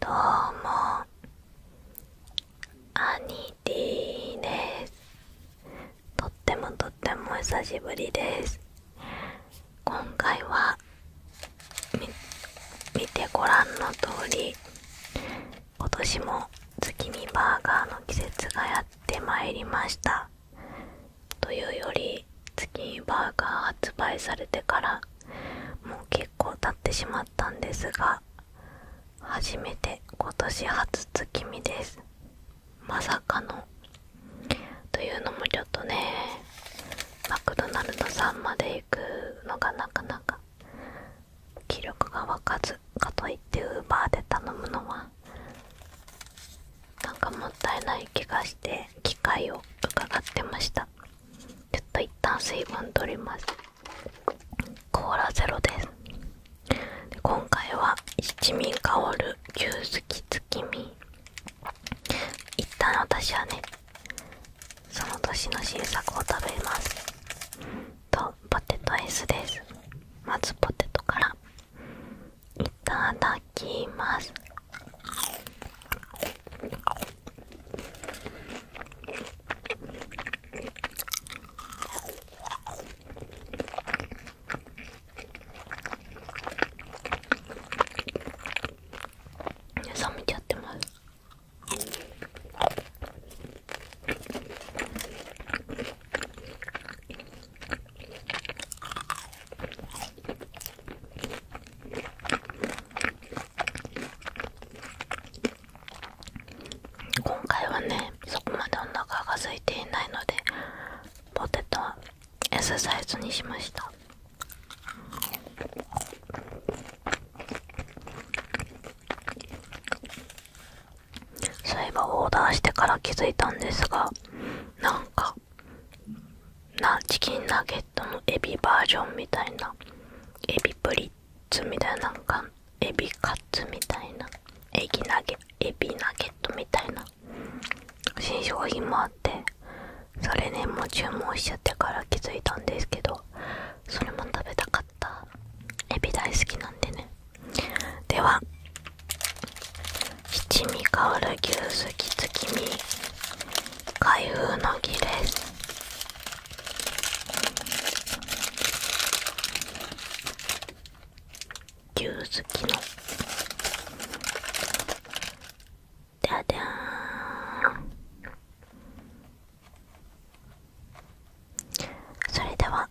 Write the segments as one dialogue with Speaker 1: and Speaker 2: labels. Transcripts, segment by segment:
Speaker 1: どうもアニティですとってもとっても久しぶりです今回は見てご覧の通り今年も月見バーガーの季節がやってまいりましたというより日キーバーが発売されてからもう結構経ってしまったんですが初めて今年初月見ですまさかのというのもちょっとねマクドナルドさんまで行くのがなかなか気力が湧かずかといってウーバーで頼むのはなんかもったいない気がして機会を伺ってましたちょっと一旦水分取りますコーラゼロです今回は七味香る牛すき月見一旦私はねその年の新作を食べますとポテトアイスですまずポテトから一旦穴開きます冷めちゃってます今回はねそこまでお腹が空いていないのでポテトは S サイズにしましたそういえばオーダーしてから気づいたんですがなんかなチキンナゲットのエビバージョンみたいなエビプリッツみたいななんかエビカツみたいなエビナゲナゲットみたいな新商品もあってそれねもう注文しちゃってから気づいたんですけどそれも食べたかったエビ大好きなんでねでは七味香る牛すき月見。み開封の儀です牛すきのでゃでゃんそれでは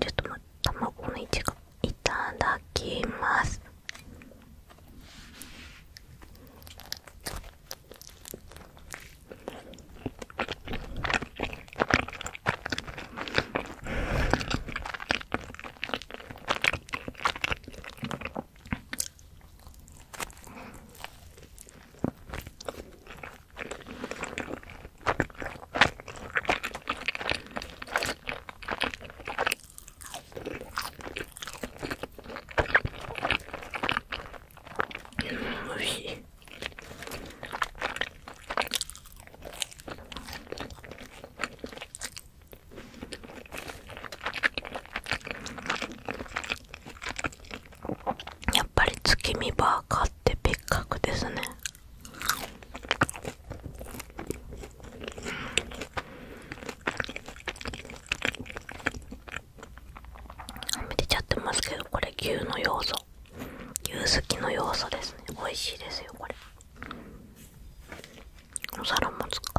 Speaker 1: ちょっと待って。卵のいちごいただきますおいしいやっぱり月見バーカーって別格ですねはみ出ちゃってますけどこれ牛の要素牛すきの要素ですね美味しいですよこれお皿も使う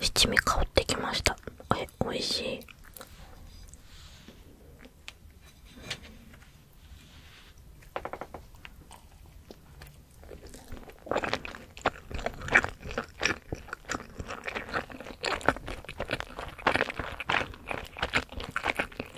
Speaker 1: 七味香ってきましたえおいしい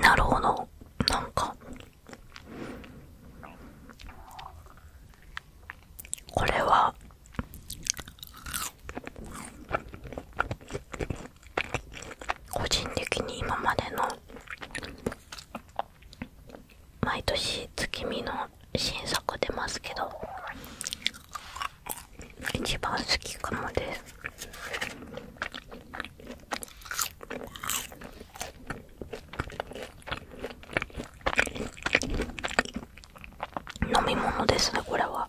Speaker 1: なるほどなんかこれは個人的に今までの毎年月見の新作出ますけど一番好きかもです飲み物ですねこれは。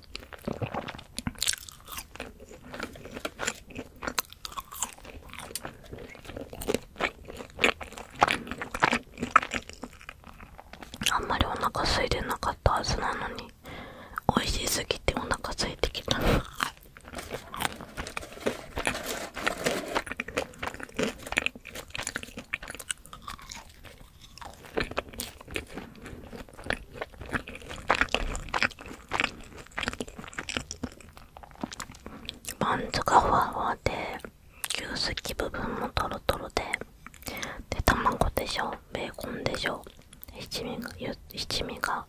Speaker 1: あんまりお腹空いてなかったはずなのに美味しすぎてお腹空いてきたバンズがふわふわで牛すき部分もとろとろでで卵でしょベーコンでしょ七味が七味が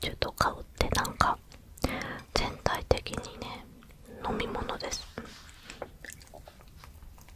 Speaker 1: ちょっと香ってなんか全体的にね飲み物です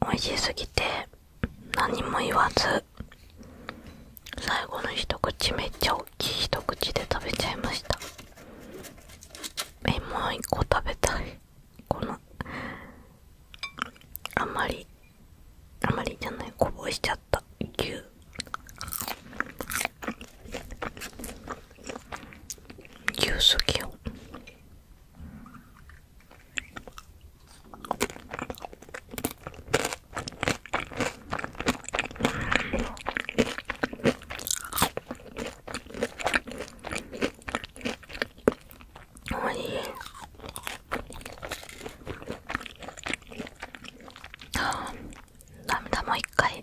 Speaker 1: 美味しすぎて何も言わず最後の一口めっちゃ大きい一口で食べちゃいましたえモう一個食べたいこのあまりあまりじゃないこぼしちゃった牛牛すぎよおいしいああ涙もう一回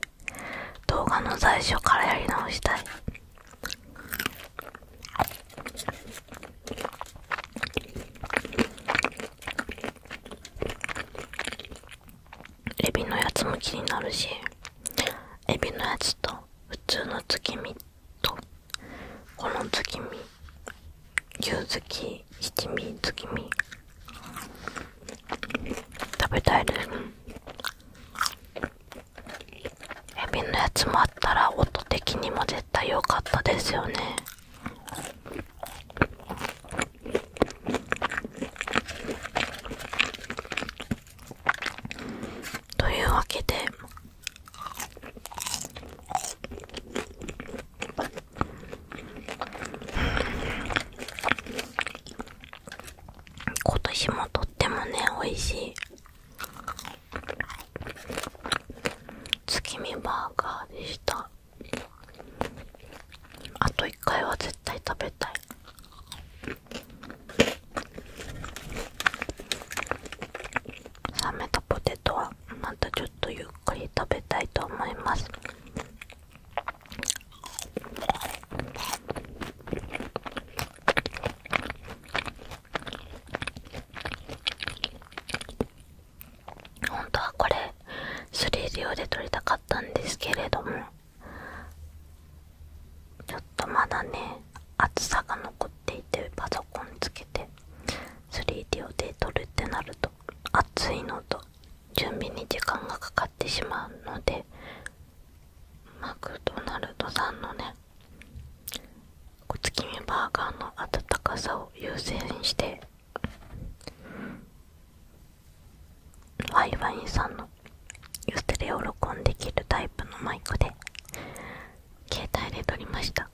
Speaker 1: 動画の最初からやり直したいエビのやつも気になるしエビのやつと普通の月見とこの月見牛月七味月見食べたいですエビのやつもあったら音的にも絶対良かったですよねというわけで今年もとってもね美味しい月見バーガーでしたあと1回は絶対食べたい冷めたポテトはまたちょっとゆっくり食べたいと思います本当はこれ 3D 用で撮りたかったんですけれどもちょっとまだね厚さが残っていてパソコンつけて 3D 用で撮るってなると暑いのと準備に時間がかかってしまうのでマクドナルドさんのね小月見バーガーの温かさを優先してワイワインさんのステレを録音できるタイプのマイクで携帯で撮りました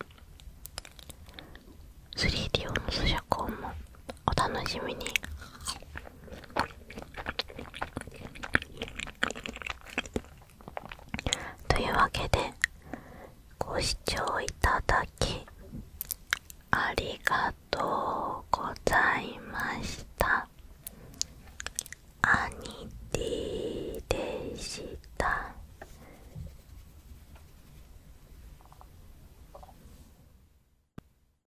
Speaker 1: 3D 用の咀嚼音もお楽しみにというわけでご視聴いただきありがとうございましたアニでした